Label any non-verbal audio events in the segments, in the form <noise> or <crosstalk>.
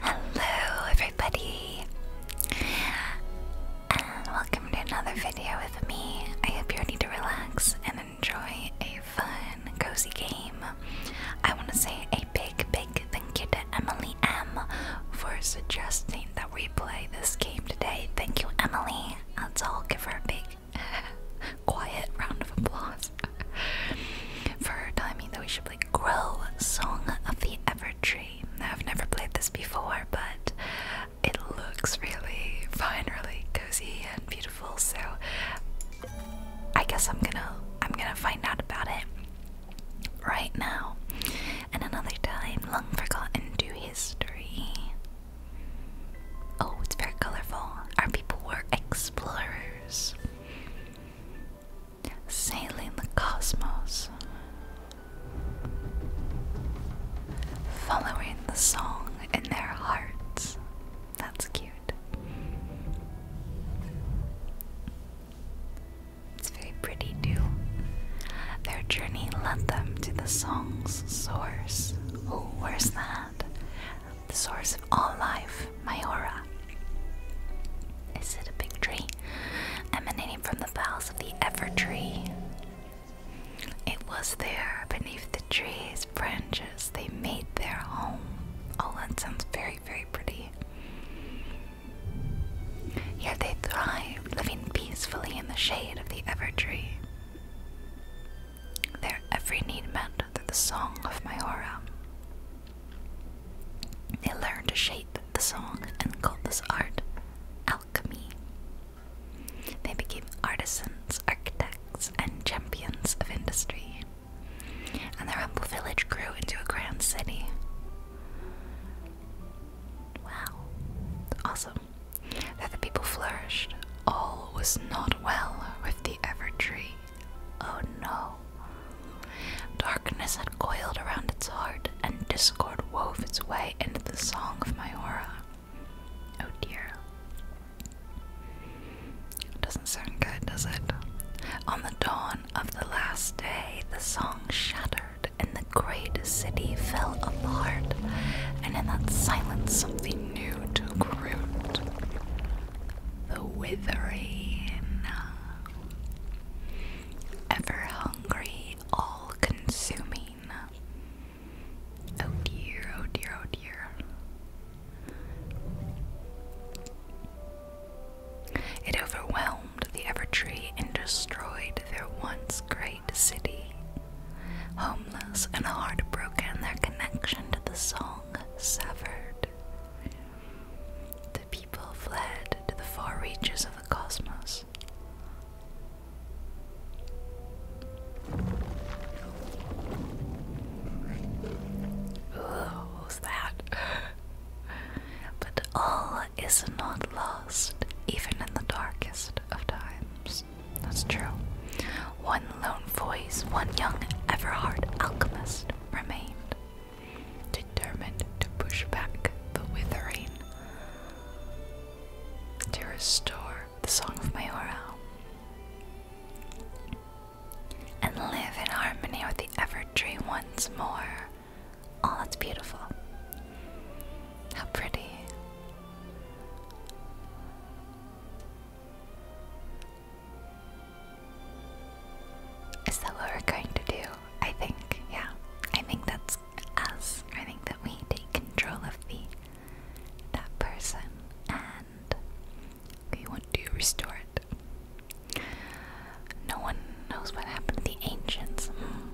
Hello, everybody, and welcome to another video with me. I hope you're ready to relax and enjoy a fun, cozy game. I want to say a big, big thank you to Emily M for suggesting that we play this game today. Thank you, Emily. Let's all give her a big, <laughs> quiet round of applause <laughs> for telling me that we should play Grow Song of the Ever Tree. I've never played this before, but it looks really fine, really cozy and beautiful. So, I guess I'm gonna I'm gonna find out about it right now. And another time, long forgotten to history. Oh, it's very colorful. Our people were explorers. Sailing the cosmos, following the song in their hearts. That's cute. It's very pretty, too. Their journey led them to the song's source. Oh, where's that? the source of all life, my aura. Is it a big tree? Emanating from the boughs of the ever tree. It was there, beneath the tree's branches, they made their home. Oh, that sounds very, very pretty. Here they thrived, living peacefully in the shade of the ever tree. Their every need met through the song of my aura. They learned to shape the song and called this art alchemy. They became artisans, architects, and champions of industry. And their humble village grew into a grand city. Wow, awesome. That the people flourished, all was not well with the ever Oh no. Darkness had coiled around its heart, and discord wove its way into the song of my aura. Oh dear. Doesn't sound good, does it? On the dawn of the last day, the song shattered, and the great city fell apart, and in that silence, something new took root the withering. Ever hungry, all consuming. Oh dear, oh dear, oh dear. It overwhelmed the Evertree and destroyed their once great city. Homeless and heartbroken, their connection to the song severed. The people fled to the far reaches of the cosmos. Ooh, who's that? <laughs> but all is not lost, even in the darkest of times. That's true. One lone voice, one young Everhard alchemist remained, determined to push back the withering, to restore the Song of Mayoral, and live in harmony with the Evertree once more. All oh, that's beautiful. How pretty. Is that what we're going to do? I think, yeah. I think that's us. I think that we take control of the that person and we want to restore it. No one knows what happened to the ancients. Hmm.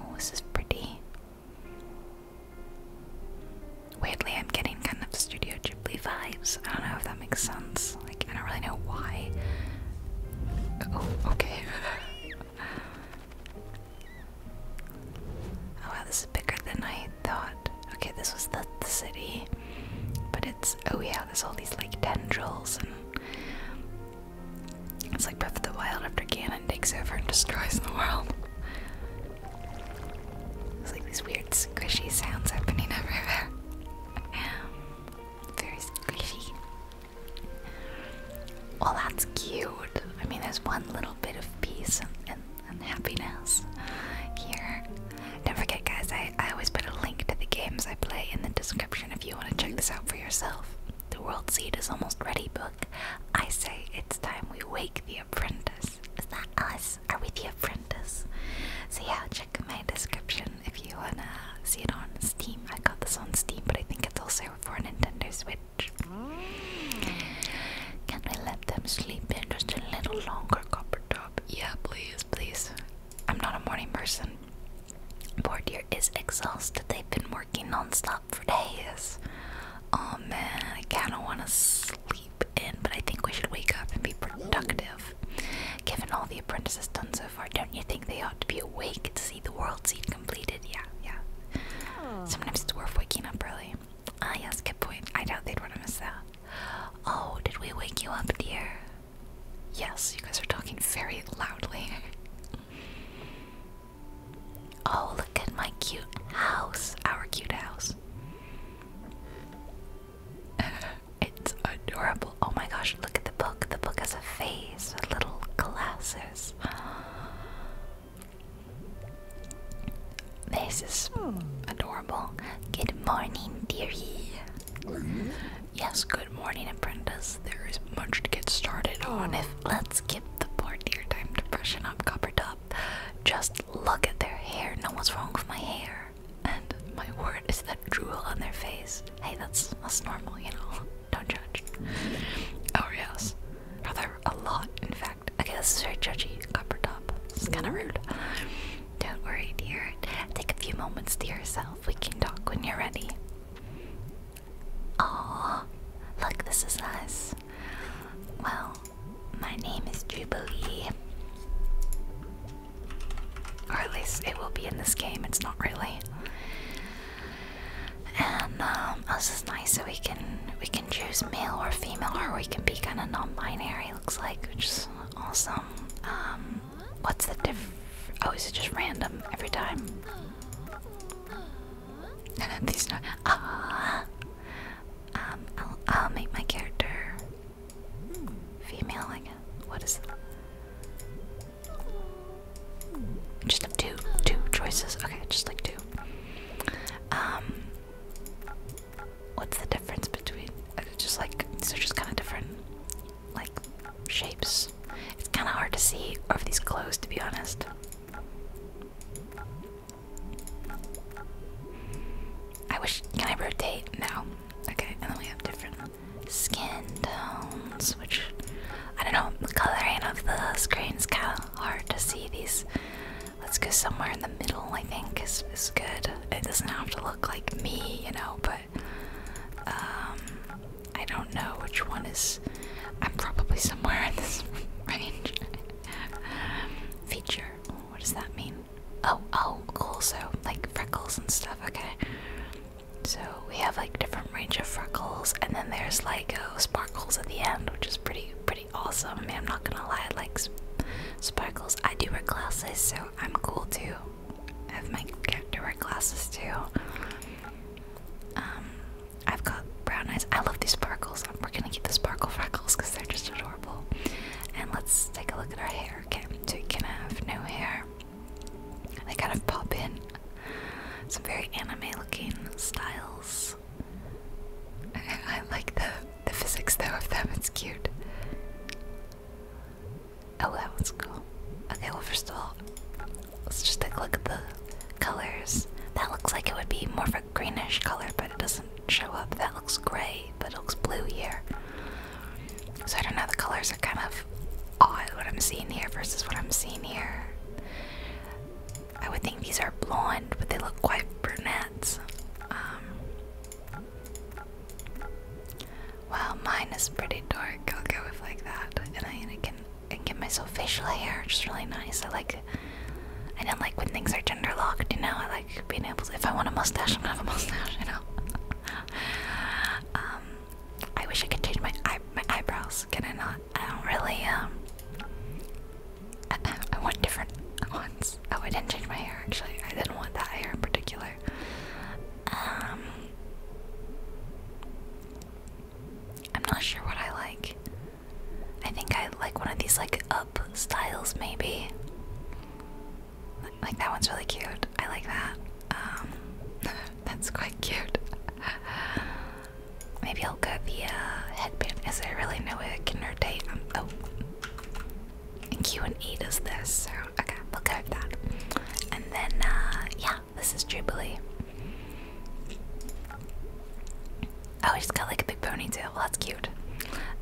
Oh, this is pretty. Weirdly, I'm getting kind of Studio Ghibli vibes. I don't know if that makes sense. Like, I don't really know why. Oh, okay. <laughs> oh wow, this is bigger than I thought. Okay, this was the, city. But it's, oh yeah, there's all these like tendrils and. It's like Breath of the Wild after Ganon takes over and destroys the world. There's like these weird squishy sounds happening everywhere. Um, very squishy. Well, that's cute. I mean, there's one little bit of peace and, and happiness here. Don't forget, guys, I, I always put a link to the games I play in the description if you want to check this out for yourself. The World Seed is almost ready book. I say it's time we wake the apprentice. Is that us? Are with the apprentice? So yeah, check my description if you wanna see it on Steam. I got this on Steam, but I think it's also for Nintendo Switch. Can we let them sleep in just a little longer, Copper Top? Yeah, please, please. I'm not a morning person. Poor dear is exhausted. They've been working non-stop for days. Oh man, I kinda wanna sleep sleep but I think we should wake up and be productive. Given all the apprentices done so far, don't you think they ought to be awake to see the world seed completed? Yeah, yeah. Sometimes it's worth waking up early. Ah, yes, good point. I doubt they'd want to miss that. Oh, did we wake you up, dear? Yes, you guys are talking very loudly. <laughs> Oh, look at my cute house. Our cute house. <laughs> it's adorable. Oh my gosh, look at the book. The book has a face little glasses. <gasps> This is adorable. Good morning, dearie. Yes, good morning, apprentice. There is much to get started on. If let's skip the poor dear time to freshen up, copper top. Just look at their hair. No, what's wrong with my hair? And my word, is that drool on their face? Hey, that's that's normal, you know. <laughs> Don't judge. Oh yes, rather a lot, in fact. Okay, this is very judgy. Copper top. It's kind of rude. Don't worry, dear. Take a few moments to yourself. We can talk when you're ready. Aww, look, this is nice. Well, my name is Jubilee. Or at least it will be in this game, it's not really. And um, oh, this is nice so we can we can choose male or female or we can be kinda non-binary looks like, which is awesome. Um, what's the diff oh is it just random every time? <laughs> These ah um, I'll, make my character female, I guess. What is it? Just like two, two choices. Okay, just like two. Um, what's the difference between? Uh, just like so, just kind of different, like shapes. It's kind of hard to see of these clothes, to be honest. I wish. Can I rotate? No. Okay, and then we have different skin tones, which I don't know. The coloring of the screen is kind of hard to see these. Let's go somewhere in the middle. I think is is good. It doesn't have to look like me, you know. But um, I don't know which one is. I'm probably somewhere in this <laughs> range. Feature what does that mean? Oh, oh, cool. So, like freckles and stuff. Okay. So, we have like different range of freckles, and then there's like oh, sparkles at the end, which is pretty, pretty awesome. I mean, I'm not gonna lie, I like sparkles. I do wear glasses, so I'm cool too. I have my to wear glasses too. Um, I've got brown eyes. I love these sparkles. We're gonna keep the sparkle freckles because they're just adorable. And let's take a look at our hair. Okay, so we can have no hair. They kind of pop in. Some very anime-looking styles. <laughs> I like the the physics though of them. It's cute. Oh, that one's cool. Okay, well first of all, let's just take a look at the colors. That looks like it would be more for greenish color, but it doesn't show up. That looks gray, but it looks blue here. So I don't know, the colors are kind of odd what I'm seeing here versus what I'm seeing here. I would think these are blonde, but they look quite brunettes. Um, mine is pretty dark. I'll go with like that, and I, can get myself facial hair, which is really nice. I like like I don't like when things are gender locked, you know. I like being able to if I want a mustache, I'm gonna have a mustache, you know. <laughs> um I wish I could change my eye my eyebrows. Can I not? I don't really um I, <laughs> I want different ones. Oh, I didn't change my hair actually. I didn't want that hair in particular. Um I'm not sure what I like. I think I like one of these like up styles maybe. Like that one's really cute. I like that. Um, <laughs> that's quite cute. <laughs> maybe I'll go the uh, headband. cause I really know way I can rotate? Um, oh, and Q and E does this. So okay, we'll go with that. And then uh, yeah, this is Jubilee. Oh, he's got like a big ponytail. Well, that's cute.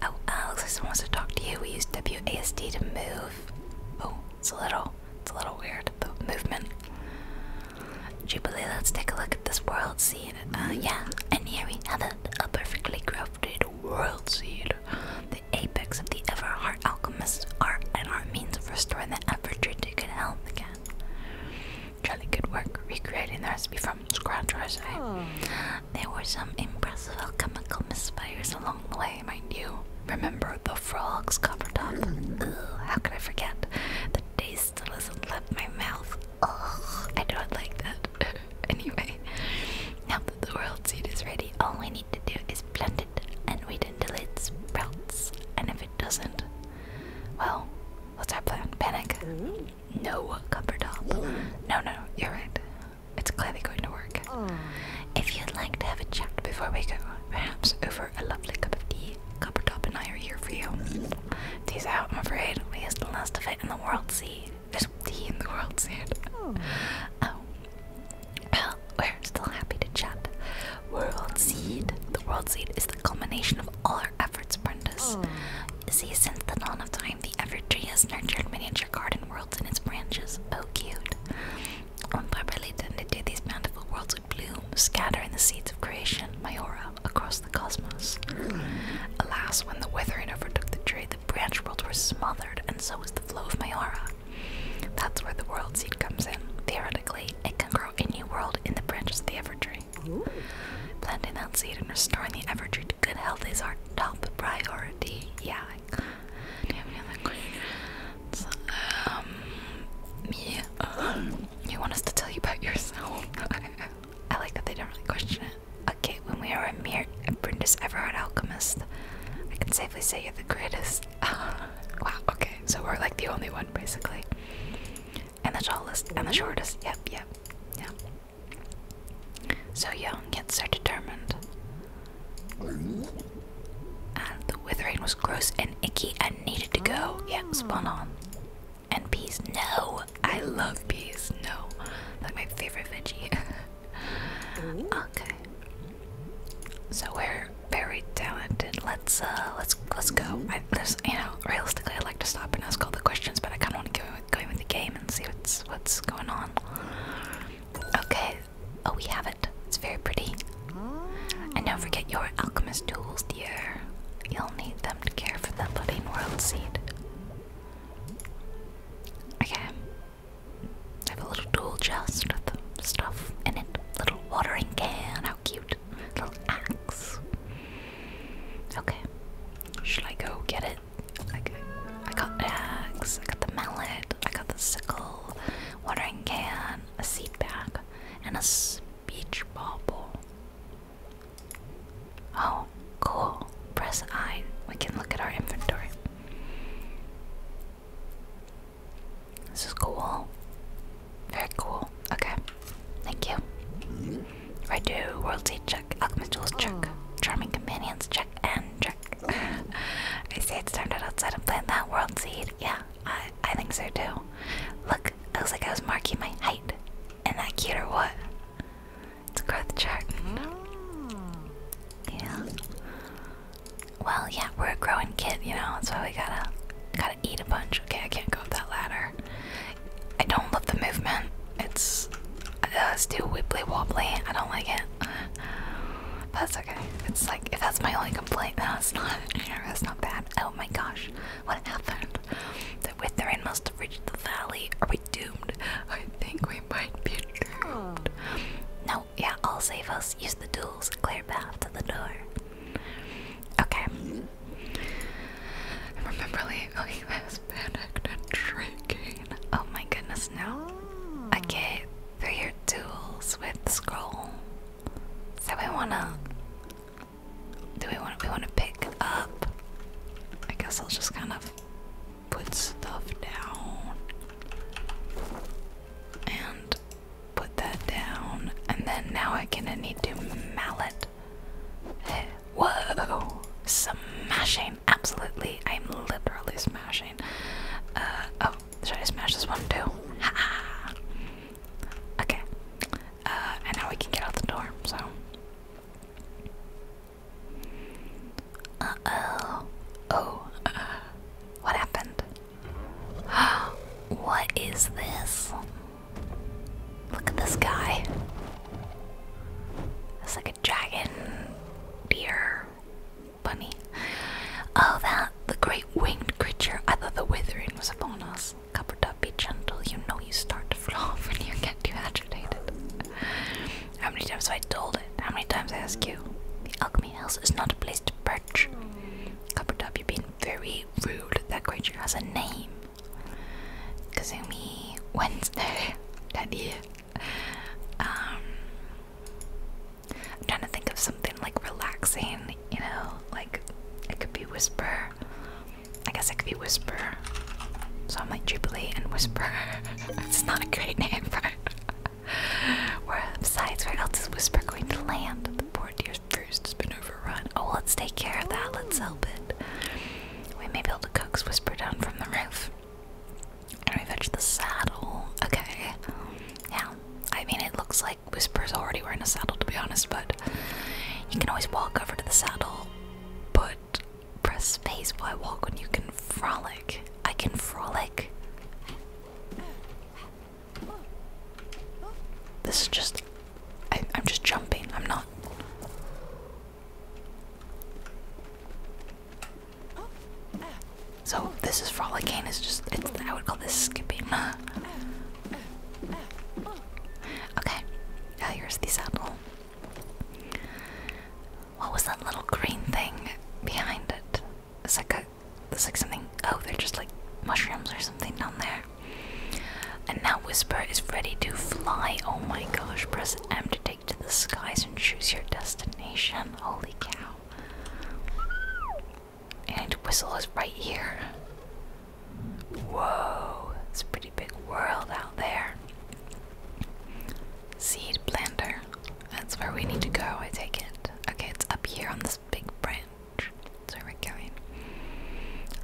Oh, uh, looks like someone wants to talk to you. We use WASD to move. Oh, it's a little, it's a little weird, movement. Jubilee, let's take a look at this world seed. Uh, yeah, and here we have a perfectly crafted world seed. The apex of the Everheart Alchemist's are and art means of restoring the effort to good health again. Jolly good work recreating the recipe from scratch, I There were some impressive alchemical misfires along the way, mind you. Remember the frog's copper top? Ugh, how could I forget? The taste still hasn't left my mouth. Ugh, I don't like that. <laughs> anyway, now that the world seed is ready, all we need to do is plant it and wait until it sprouts. And if it doesn't, well, what's our plan? Panic? no cover top. No, no, you're right. It's clearly going to work. If you'd like to have a chat before we go, perhaps over a lovely cup of tea, Copper Top and I are here for you. These, out, I'm afraid. We used the last of it in the world sea. There's tea in the world seed. Oh. Well, we're still happy to chat. World Seed. The World Seed is the culmination of all our efforts, Brenda's. See, since the dawn of time, the evertree has nurtured miniature garden worlds in its branches. Oh, cute. When properly tended to, these bountiful worlds would bloom, scattering the seeds of creation, Mayora, across the cosmos. Alas, when the withering overtook the tree, the branch worlds were smothered, and so was the flow of Mayora. That's where the world seed comes in. Theoretically, it can grow a new world in the branches of the evertree. Planting that seed and restoring the ever to good health is our top priority. Yeah. Um, yeah. Um, you want us to tell you about yourself? <laughs> I like that they don't really question it. Okay, when we are a mere apprentice Everard alchemist, I can safely say you're the greatest. <laughs> wow, okay, so we're like the only one basically and the tallest and the shortest. Yep, yep, yep. So young yet so determined. And the withering was gross and icky and needed to go. Yeah, spawn on. And peas, no! I love peas, no. That's my favorite veggie. <laughs> okay. So we're very talented. Let's uh let's let's go you know realistically I would like to stop and ask all the questions, but I kind of want to go go with the game and see what's what's going on. Okay, oh we have it. It's very pretty. And don't forget your alchemist tools, dear. You'll need them to care for the budding world seed. Okay, I have a little tool chest with stuff in it. Little watering can, how cute. Little axe. Okay. Should I go get it? I got, I got axe, I got the mallet, I got the sickle, watering can, a seat bag, and a speech ball. Oh, cool. Press I. We can look at our inventory. This is cool. Very cool. Okay. Thank you. I do World Seed check, Alchemist Tools check, oh. Charming Companions check, and check. <laughs> I say it's time to outside and plant that World Seed. Yeah, I, I think so too. Look, it looks like I was marking my height. is that cute what? It's a growth chart. Mm. Yeah. Well, yeah, we're a growing kid, you know, so we gotta gotta, eat a bunch. Okay, I can't go up that ladder. I don't love the movement. It's uh, it's too wibbly wobbly. I don't like it. <sighs> that's okay. It's like if that's my only complaint, <laughs> then not. That's <laughs> not bad. Oh my gosh, what happened? The Withering must have the valley. Are we doomed? I think we might be doomed. No, yeah, I'll save us. Use the tools. Clear path to the door. Okay. I remember like this oh, panicked and shaking. Oh my goodness, no. Okay, through your tools with scroll. So we wanna do we want we wanna pick up I guess I'll just kind of put stuff down and put that down and then now I kinda need to mallet Whoa! Smashing! Absolutely, I'm literally smashing. Uh, oh, should I smash this one too? Ha! okay. Uh, and now we can get out the door, so. Oh, uh oh. Oh. what happened? <gasps> what is this? Look at this guy. It's like a dragon, deer, bunny. Oh, that the great winged creature. I thought the withering was upon us. Covered up, be gentle. You know you start to flaw <laughs> when you get too agitated. How many times have I told it? How many times I ask you? The alchemy house is not a place to perch. Covered up, you've been very rude. That creature has a name. Kazumi Wednesday. <laughs> that is. Um, I'm trying to think of something like relaxing, you know, like it could be Whisper. I guess it could be Whisper. So I'm like Jubilee and Whisper. <laughs> it's not a great name for it. besides, where else is Whisper going to land? The poor dear First, has been overrun. Oh, let's take care of that. Let's help it. We may be able to coax Whisper down from the roof. And we fetch the saddle. Okay. Yeah. I mean, it looks like Whisper's already wearing a saddle, to be honest, but you can always walk over to the saddle, but press space while I walk when you can frolic. I can frolic. This is just I, am just jumping. I'm not. So this is frolicane. Is just it's, I would call this skipping. <laughs> okay, here's the saddle. What was that little green thing behind it? It's like a, it's like something. Oh, they're just like mushrooms or something down there. And now Whisper is ready to fly. Oh my gosh, press M to take to the skies and choose your destination. Holy cow. And Whistle is right here. Whoa, it's a pretty big world out there. Seed blender. That's where we need to go, I take it. Okay, it's up here on this big branch. So we're going.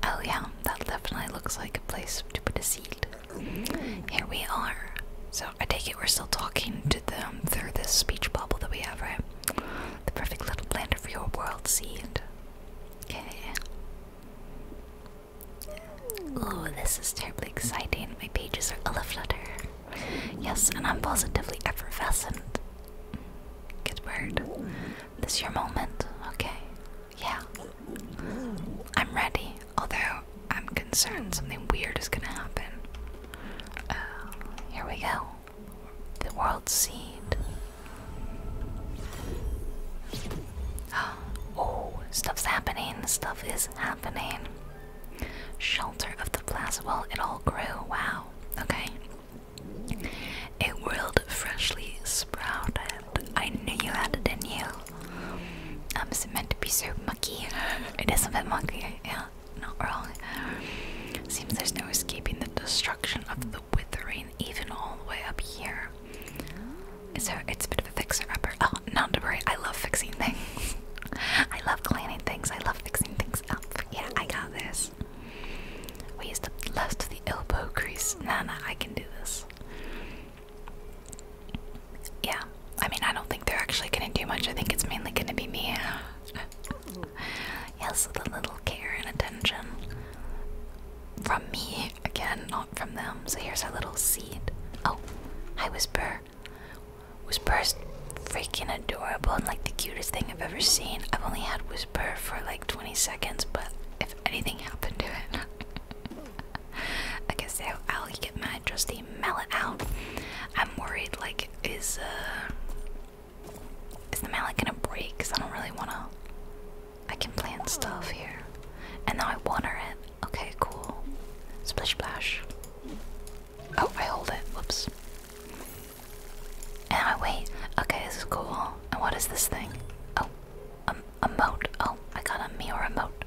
Oh yeah, that definitely looks like a place to put a seed. Here we are. So I take it we're still talking to them through this speech bubble that we have, right? The perfect little blender for your world seed. Okay. Oh, this is terribly exciting. My pages are all aflutter. Yes, and I'm positively effervescent. Good word. This your moment, okay? Yeah. I'm ready, although I'm concerned something weird is gonna happen. Uh, here we go. The world seed. <gasps> Oh, stuff's happening. Stuff is happening. Shelter of the plaza. Well, it all grew. Wow. Okay. A world freshly sprouted. I knew you had it in you. Um, is it meant to be so mucky? <laughs> it is a bit mucky, yeah, not wrong. Seems there's no escaping the destruction of the withering, even all the way up here. So it's a bit of a fixer upper. Oh, not to worry, I love fixing things. <laughs> I love cleaning things, I love fixing things up. Yeah, I got this. We use the left of the elbow crease. Nah, nah, I can do this. Yeah, I mean, I don't think they're actually gonna do much. I think it's mainly gonna be me. <laughs> yes, with a little care and attention from me again, not from them. So here's a little seed. Oh, I Whisper. Whisper's freaking adorable and like the cutest thing I've ever seen. I've only had Whisper for like 20 seconds, but if anything happened to it. okay, <laughs> so I'll get my trusty mallet out. I'm worried, like, is uh, is the mallet gonna break? Cause I don't really wanna. I can plant stuff here, and now I water it. Okay, cool. Splish splash. Oh, I hold it. Whoops. And I wait. Okay, this is cool. And what is this thing? Oh, a, a moat. Oh, I got a Miora moat.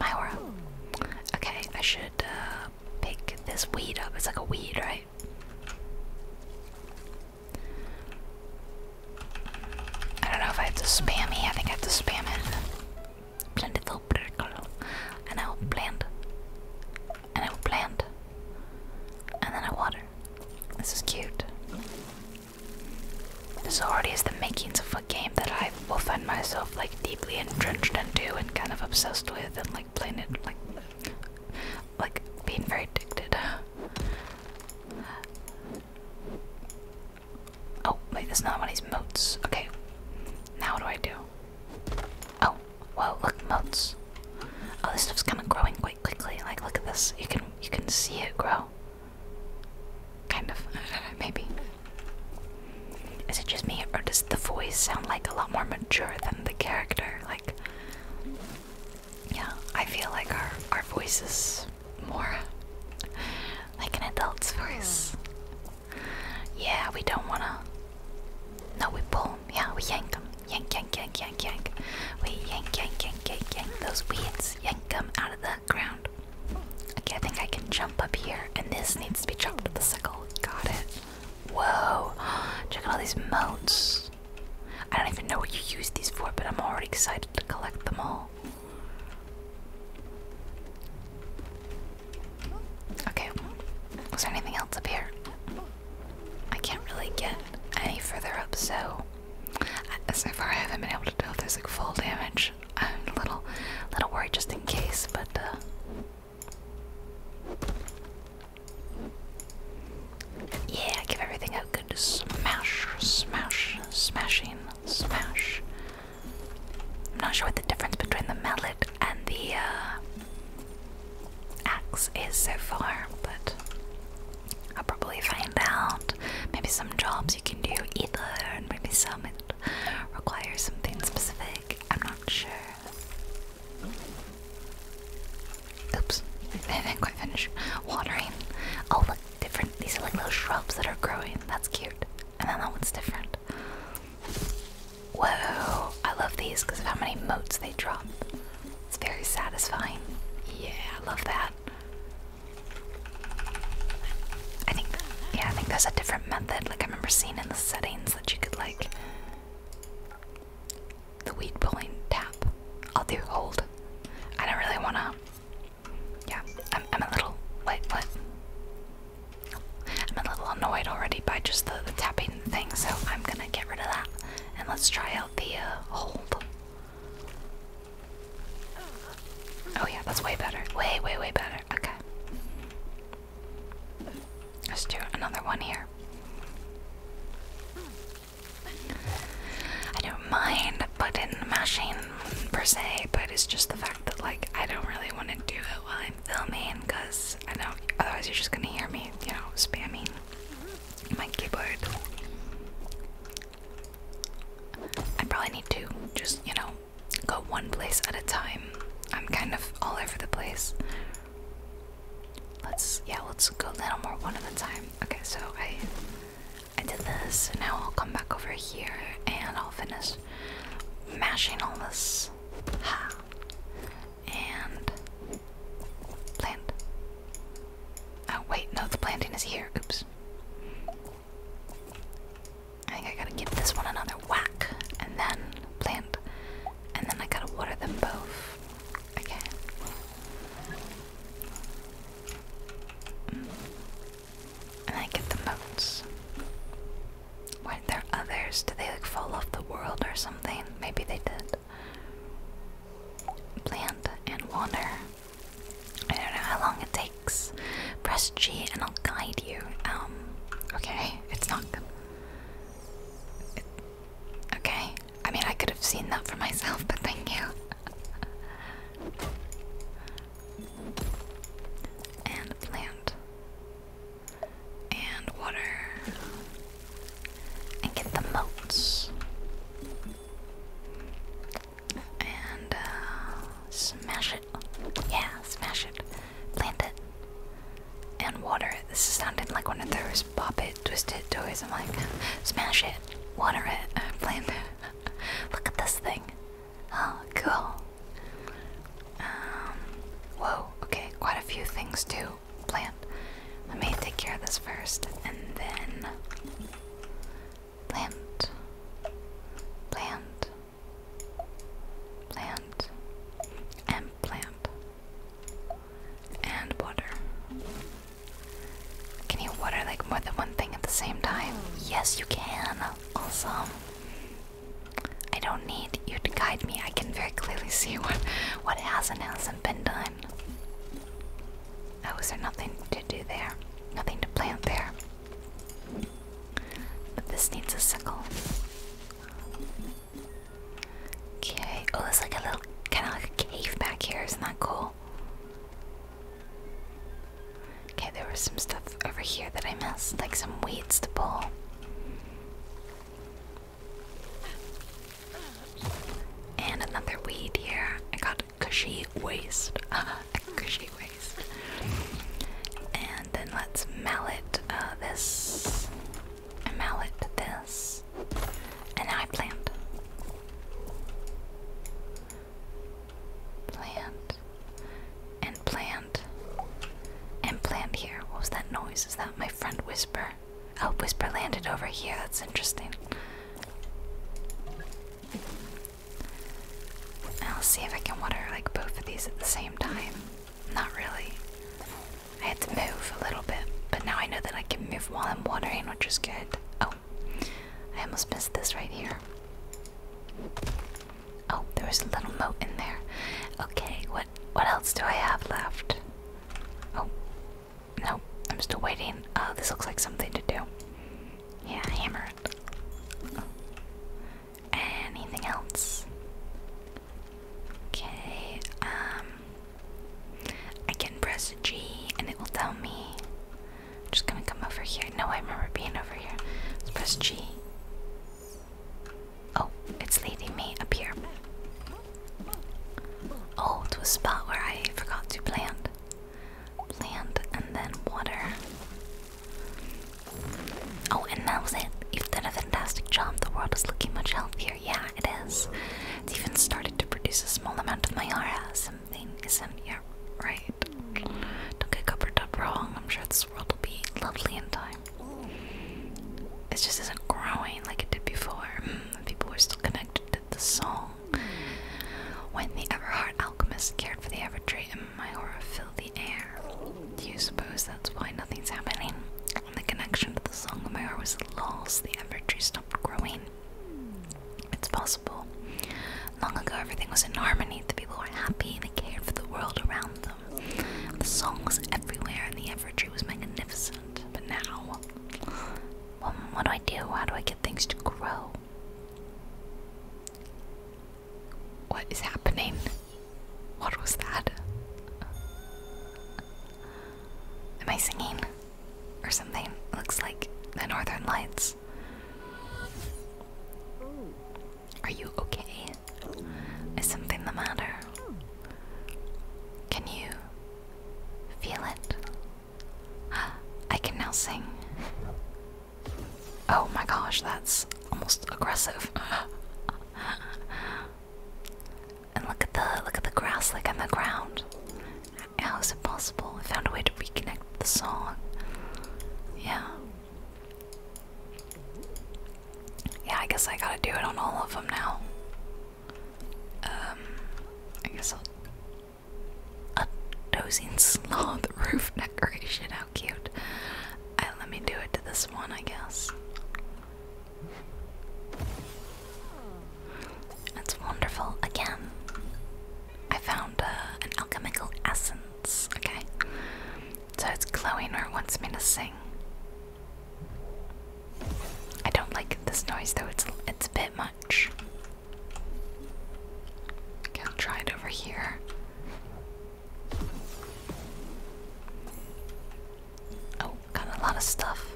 Myora. Okay, I should uh, pick this weed up. It's like a weed, right? I don't know if I have to spam me. I think I have to spam it. Plentiful particle. And I will plant. And I will plant. And then I water. This is cute. This already is the makings of a game that I will find myself like deeply entrenched into and kind of obsessed with and like playing it like like being very addicted. Oh, wait, that's not one of these moats. Okay. Now what do I do? Oh, whoa, look, moats. Oh, this stuff's kinda growing quick quickly. Like look at this. You can you can see it grow. Kind of <laughs> maybe. Is it just me or does the voice sound like a lot more mature than the character? Like Yeah, I feel like our our voices more <laughs> like an adult's voice. Yeah, we don't wanna No, we pull yeah, we yank them. Yank, yank, yank, yank, yank. We yank, yank, yank, yank, yank those weeds. Yank them out of the ground. Okay, I think I can jump up here, and this needs to be chopped with the sickle. Got it. Whoa! <gasps> Check out all these moats. I don't even know what you use these for, but I'm already excited to collect them all. Okay, was there anything else up here? I can't really get any further up, so uh, so far I haven't been able to do if there's like full damage. I'm a little, little worried just in case, but uh, yeah, give everything a good smash, smash, smashing, smash. I'm not sure what the difference between the mallet and the uh, axe is so far, but I'll probably find out. Maybe some jobs you can do either, and maybe some that require something specific. I'm not sure. Oops, <laughs> I didn't quite finish watering. Oh, look, different. These are like little shrubs that are growing. That's cute. And then that one's different. Whoa, I love these because of how many moats they drop. It's very satisfying. Yeah, I love that. I think, yeah, I think there's a different method. Like I remember seeing in the settings that you could like the weed pulling tap. I'll do hold. I don't really wanna. Yeah, I'm, I'm a little. Wait, what? I'm a little annoyed already by just the tapping thing, so I'm gonna get rid of that and let's try out the uh, hold. Oh yeah, that's way better. Way, way, way better. Okay. Let's do another one here. I don't mind in the machine per se, but it's just the fact that like I don't really want to do it while I'm filming because I know otherwise you're just gonna hear me, you know, spamming my keyboard. I probably need to just, you know, go one place at a time. I'm kind of all over the place. Let's, yeah, let's go a little more one at a time. Okay, so I, I did this. and Now I'll come back over here and I'll finish mashing all this and plant. Oh wait, no, the planting is here. Oops. I think I gotta give this one another whack, and then plant, and then I gotta water them both. Okay. Mm. And I get the moats. Weren't there others? Did they like fall off the world or something? Maybe they did. Plant and water. I don't know how long it takes. Press G and I'll guide you. Um, okay, <laughs> it's not good. okay, I mean, I could have seen that for myself, <laughs> but thank you. and plant. And water and get the moats and uh, smash it. Yeah, smash it. Plant it and water it. This sounding like one of those pop it, twisted toys. I'm like, smash it, water it, uh, plant it. <laughs> Look at this thing. Oh, cool. Um, whoa. Okay, quite a few things too. Plant. Let me take care of this first and then plant, plant, plant, and plant, and water. Can you water like more than one thing at the same time? Yes, you can. Awesome. I don't need you to guide me. I can very clearly see <laughs> what what has and hasn't been done. Oh, is there nothing to do there? Nothing to plant there. But this needs a sickle. Okay. Oh, there's like a little, kind of like a cave back here. Isn't that cool? Okay, there was some stuff over here that I missed, like some weeds to pull. And another weed here. I got cushy waste. A <laughs> cushy waste. And then let's mallet uh, this. I mallet this. And now I plant. Plant. And plant. And plant here. What was that noise? Is that my friend whisper? Whisper. Oh, Whisper landed over here. That's interesting. I'll see if I can water like both of these at the same time. Not really. I had to move a little bit, but now I know that I can move while I'm watering, which is good. Oh, I almost missed this right here. Oh, there was a little moat in there. Okay, what what else do I have left? Oh, no, I'm still waiting. Uh, this looks like something to do. Yeah, hammer it. Anything else? Okay, um, I can press G and it will tell me. I'm just gonna come over here. No, I remember being over here. Let's press G. Oh, it's leading me up here. Oh, to a spot where I forgot to plant. Plant and then water. Oh, and that was it. You've done a fantastic job. The world is looking much healthier. Yeah, it is. It's even started to produce a small amount of my aura. Something isn't yeah, right. Don't get covered up wrong. I'm sure this world will be lovely in time. It just isn't growing like it did before. Mm people were still connected to the song. When the Everhard alchemist cared for the Evertree, and my aura filled the air. Do you suppose that's why nothing's happening? When the connection to the song of my heart was lost, the Evertree stopped growing. It's possible. Long ago, everything was in harmony. The people were happy, they cared for the world around them. The song was everywhere, and the Evertree was magnificent. But now, what, what, do I do? How do I get things to grow? What is happening? What was that? Am I singing? Or something? It looks like the northern lights. Are you okay? Is something the matter? Can you Feel it. <gasps> I can now sing. Oh my gosh, that's almost aggressive. <laughs> and look at the look at the grass like on the ground. How is it possible? I found a way to reconnect the song. Yeah. Yeah, I guess I gotta do it on all of them now. Um, I guess I'll. A dozing sloth <laughs> roof decoration. How cute! I, let me do it to this one, I guess. That's wonderful. Again, I found uh, an alchemical essence. Okay, so it's glowing, or wants me to sing. I don't like this noise though, it's, it's a bit much. Okay, I'll try it over here. Oh, got a lot of stuff.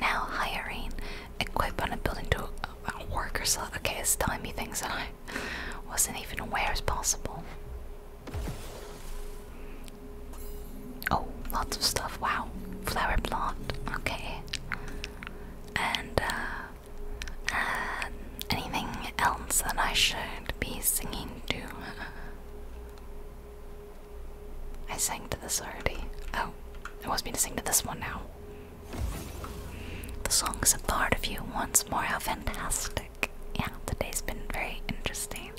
Now hiring. equipment, on building to a worker slot. Okay, it's telling me things that I wasn't even aware is possible. Oh, lots of stuff. Wow. Flower plot. Okay. And, uh, uh, anything else that I should be singing to? I sang to this already. Oh, I was me to sing to this one now. The song is a part of you once more. How fantastic. Yeah, the day has been very interesting.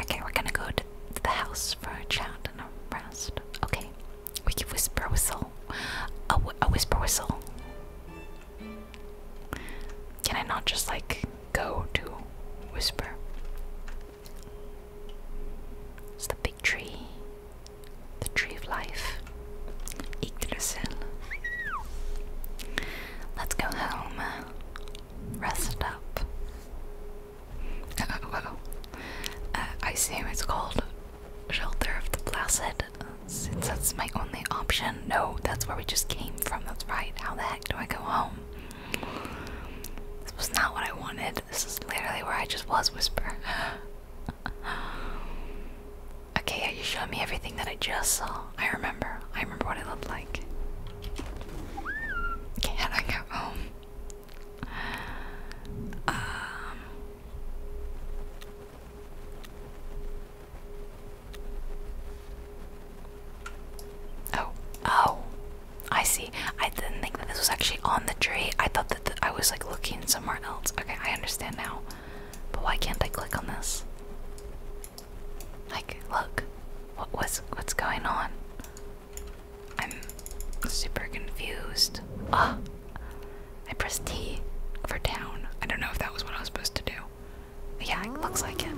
Okay, we're gonna go to the house for a chat and a rest. Okay, we can whisper whistle. A, wh a whisper whistle. Can I not just like go to whisper? It's the big tree, the tree of life. Yggdrasil. Let's go home. Rest up wow. <laughs> Uh, I assume it's called Shelter of the Placid, since that's my only option. No, that's where we just came from, that's right. How the heck do I go home? This was not what I wanted. This is literally where I just was, Whisper. <laughs> okay, yeah, you showed me everything that I just saw. I remember. I remember what it looked like. Can I home? Um, um, oh, oh, I see. I didn't think that this was actually on the tree. I thought that I was like looking somewhere else. Okay, I understand now. But why can't I click on this? Like, look, what was what's going on? I'm super confused. Ah, I pressed T for town. I don't know if that was what I was supposed to do. Yeah, it looks like it.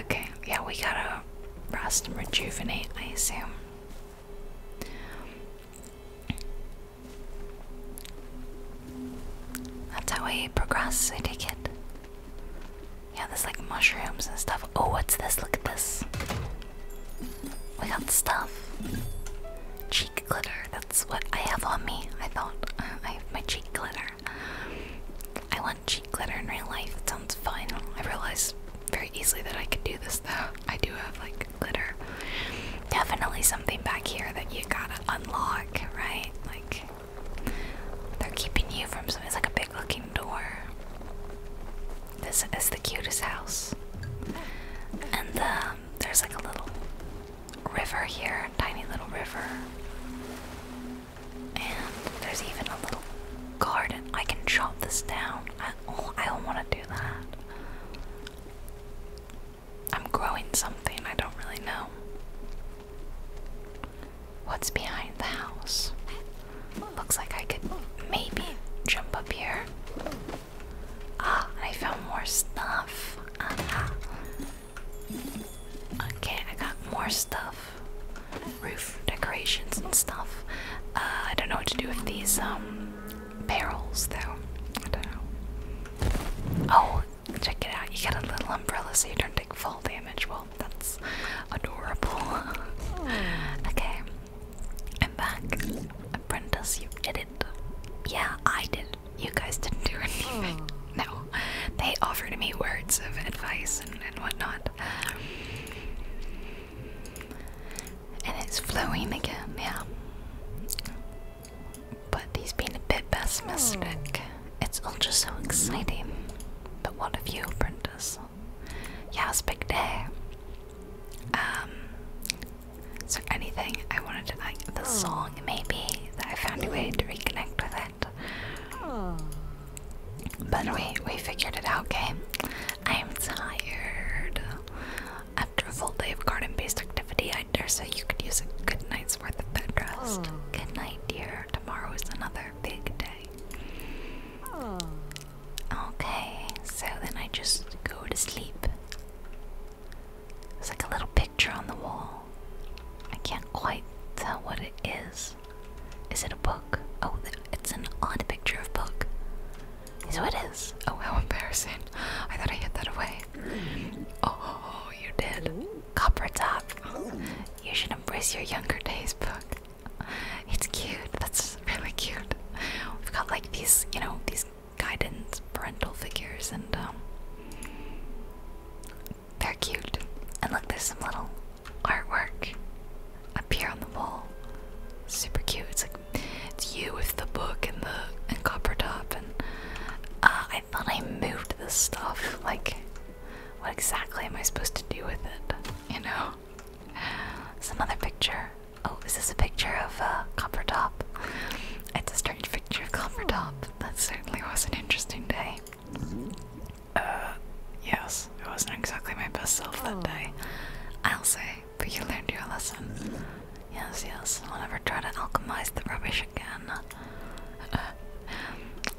Okay, yeah, we gotta rest and rejuvenate, I assume. That's how we progress, I take it. Yeah, there's like mushrooms and stuff. Oh, what's this? Look at this. We got stuff. Cheek glitter. That's what I have on me. I thought uh, I have my cheek glitter. I want cheek glitter in real life. It sounds fun. I realized very easily that I could do this though. I do have like glitter. Definitely something back here that you gotta unlock, right? Like they're keeping you from something. It's like a big looking door. This is the cutest house. And um, there's like a little river here, tiny little river. And there's even a little garden. I can chop this down. I oh, don't want to do that. I'm growing something, I don't really know. What's behind the house? Looks like I could maybe jump up here. Ah, I found more stuff. Uh-huh. Okay, I got more stuff. Roof decorations and stuff. Uh, I don't know what to do with these um barrels though. Oh, check it out. You got a little umbrella so you don't take fall damage. Well, Oh, that's adorable. Oh. okay, I'm back. Apprentice, you did it. Yeah, I did. You guys didn't do anything. Oh. No, they offered me words of advice and, and whatnot. And it's flowing again, yeah. But he's been a bit pessimistic. Hmm. It's all just so exciting. But what of you, Prentice? Yeah, it's big day. Um, so anything I wanted to like the song maybe that I found a way to reconnect with it. But we we figured it out, okay? I am tired. After a full day of garden-based activity, I dare say you could use a good night's worth of bed rest. Oh. Good night, dear. Tomorrow is another another Okay, so then I just go to sleep. It's like a little picture on the wall. I can't quite tell what it is. Is it a book? Oh, it's an odd picture of book. Is what it is? Oh, how embarrassing! I thought I hid that away. Oh, you did. Copper top. You should embrace your younger days book. It's cute. That's really cute. We've got like these, you know, these guidance parental figures, and um, they're cute. And look, there's some little artwork up here on the wall. Super cute. It's like it's you with the book and the and copper top, and uh, I thought I moved this stuff like what exactly am I supposed to do with it? You know? some other picture. Oh, is this a picture of uh, Coppertop? It's a strange picture of Coppertop. That certainly was an interesting day. Uh, yes, it wasn't exactly my best self that oh. day. I'll say, but you learned your lesson. Yes, yes, I'll never try to alchemize the rubbish again. Uh,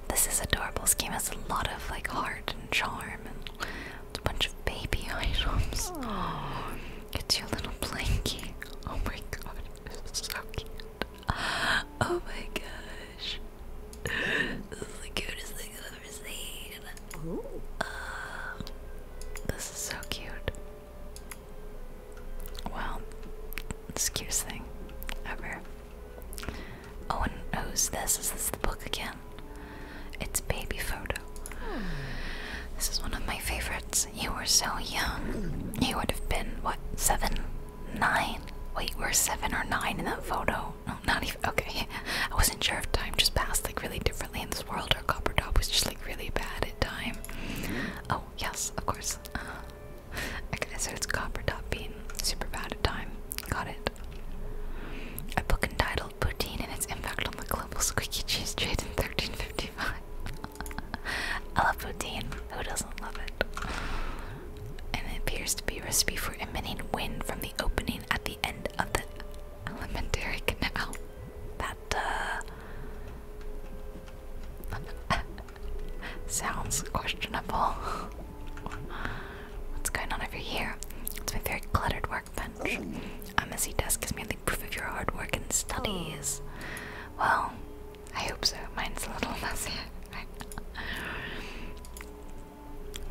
this is adorable. This game has a lot of like heart and charm and a bunch of baby <laughs> items. Oh, it's your little blankie. Oh my god, it's <laughs> so cute. Oh my gosh. This is the cutest thing I've ever seen. Uh, this is so cute. Well, it's the cutest thing ever. Oh, and who's this? Is this the book again? It's Baby Photo. This is one of my favorites. You were so young. You would have been, what, seven? Nine? Wait, we're seven or nine in that photo. No, not even. Okay. <laughs> I wasn't sure if time just passed like really differently in this world or Coppertop was just like really bad at time. Oh, yes, of course. Uh, I guess it's copper dot bean. Super bad at time. Got it. A book entitled Poutine and its Impact on the Global Squeaky Cheese Trade in 1355. <laughs> I love poutine. Who doesn't love it? And it appears to be a recipe for emitting wind from the opening at the end of the elementary canal. That, uh, Sounds questionable. What's going on over here? It's my very cluttered workbench. A messy desk is merely proof of your hard work and studies. Well, I hope so. Mine's a little <laughs> messy.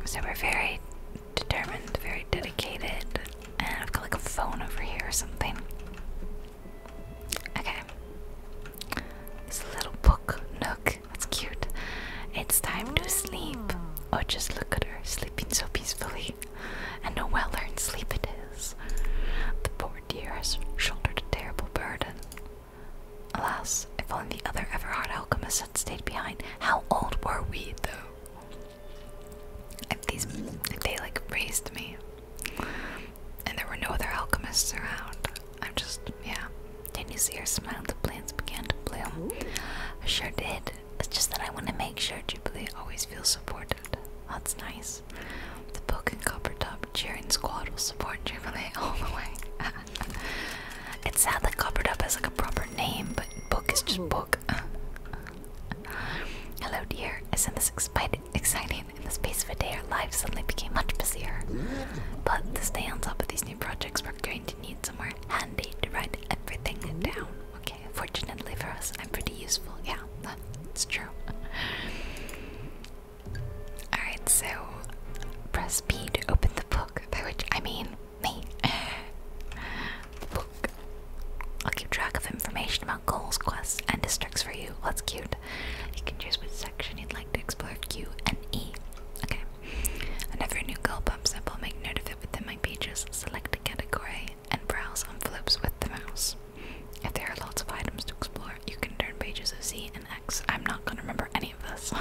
so we're very determined, very dedicated, and I've got like a phone over here or something. Okay. It's a little book nook. That's cute. It's time to sleep. Oh, just look at her sleeping so peacefully. And a well earned sleep it is. The poor dear has shouldered a terrible burden. Alas, if only the other Everhard alchemists had stayed behind. How old were we, though? If these, if they like raised me, and there were no other alchemists around, I'm just, yeah. did you see her smile? The plants began to bloom. I sure did. It's just that I want to make sure Jubilee always feels supported. That's nice. The book and copper top cheering squad will support Jubilee <laughs> all the way. <laughs> it's sad that copper top has like a proper name, but book is just book. <laughs> Hello, dear. Isn't this exciting? in the space of a day, our lives suddenly became much busier. But to stay on top of these new projects, we're going to need somewhere handy to write everything down. Okay, fortunately for us, I'm pretty useful. Yeah, it's true. Alright, so press B to open the book, by which I mean me. <laughs> book. I'll keep track of information about goals, quests, and districts for you. What's cute? You can choose which section you'd like to explore Q and E. Okay. Whenever a new goal bumps up, I'll make note of it within my pages, select a category, and browse on flips with the mouse. If there are lots of items to explore, you can turn pages of Z and X. I'm not gonna remember any of this.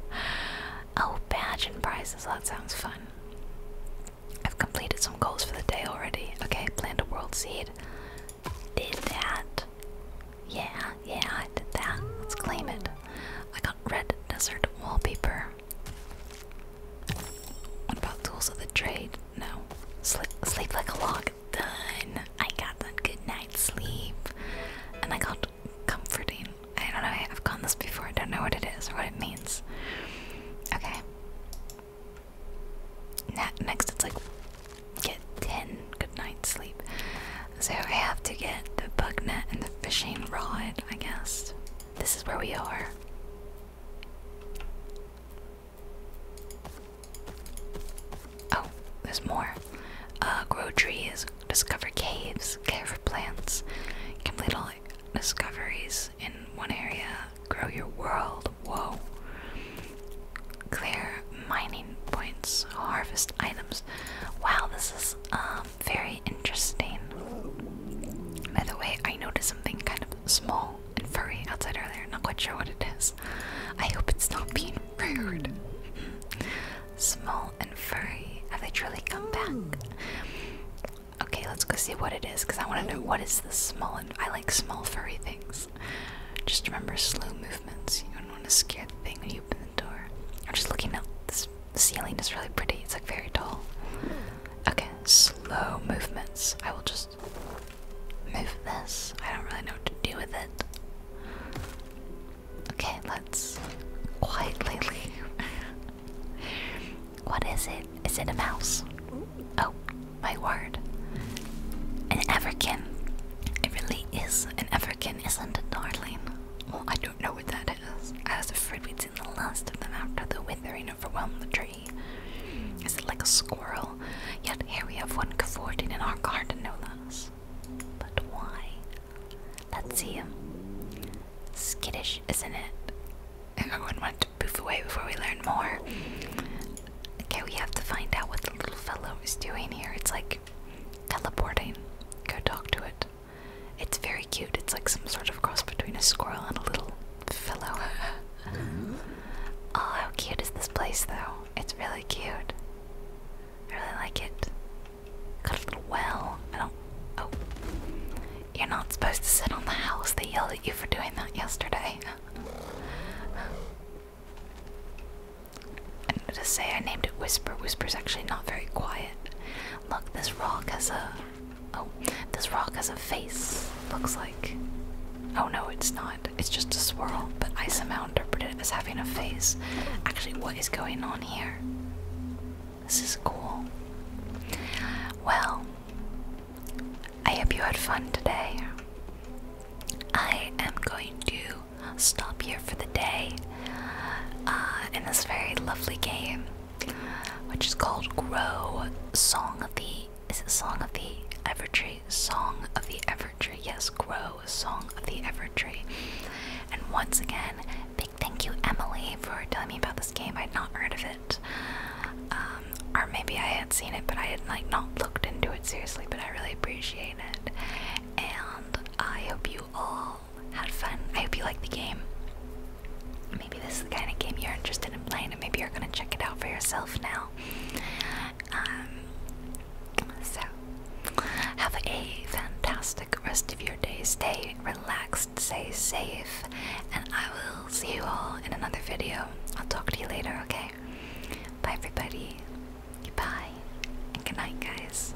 <laughs> oh, badge and prizes, that sounds fun. I've completed some goals for the day already. Okay, plant a world seed did that. Yeah, yeah, I did that. Let's claim it. I got red desert wallpaper. What about tools of the trade? No. Sleep, sleep like a log. Done. I got that good night sleep. And I got comforting. I don't know, I've gone this before. I don't know what it is or what it means. Okay. Next, it's like get 10 good night sleep. So I have to get the bug net and the fishing rod, I guess. This is where we are. Oh, there's more. Uh, grow trees, discover caves, care for plants, complete all discoveries in one area, grow your world. Whoa. Clear mining points, harvest items. Wow, this is um, very interesting. By the way, I noticed something kind of small and furry outside earlier. Not quite sure what it is. I hope it's not being rude. small and furry. Have they truly come back? Okay, let's go see what it is because I want to know what is this small and I like small furry things. Just remember slow movements. You don't want to scare the thing when you open the door. I'm just looking up. This ceiling is really pretty. It's like very tall. Okay, slow movements. I will just move this. I don't really know what to do with it. Okay, let's quietly leave. <laughs> what is it? Is it a mouse? Oh, my word an African. It really is an African, isn't it, darling? Well, I don't know what that is. I was afraid we'd seen the last of them after the withering overwhelmed the tree. Is it like a squirrel? Yet here we have one cavorting in our garden, no less. But why? Let's see him. Skittish, isn't it? Everyone wanted to poof away before we learn more. Okay, we have to find out what the little fellow is doing here. It's like teleporting. Go talk to it. It's very cute. It's like some sort of cross between a squirrel and a little fellow. oh, how cute is this place, though? It's really cute. I really like it. Got a little well. I don't. Oh. You're not supposed to sit on the house. They yelled at you for doing that yesterday. <laughs> I'm going to say I named it Whisper, Whisper is actually not very quiet. Look, this rock has a oh, this rock has a face. Looks like. Oh no, it's not. It's just a swirl. But I somehow interpreted it as having a face. Actually, what is going on here? This is cool. Well, I hope you had fun today. I am going to stop here for the day uh, in this very lovely game, which is called Grow Song of the. Is it Song of the Evertree? Song of the Evertree. Yes, Grow Song of the Evertree. And once again, big thank you, Emily, for telling me about this game. I'd not heard of it. Um, or maybe I had seen it, but I had like not looked into it seriously. But I really appreciate and I hope you all had fun. I hope you liked the game. Maybe this is the kind of game you're interested in playing, and maybe you're gonna check it out for yourself now. Um, so, have a fantastic rest of your day. Stay relaxed, stay safe, and I will see you all in another video. I'll talk to you later, okay? Bye, everybody. Goodbye, and good night, guys.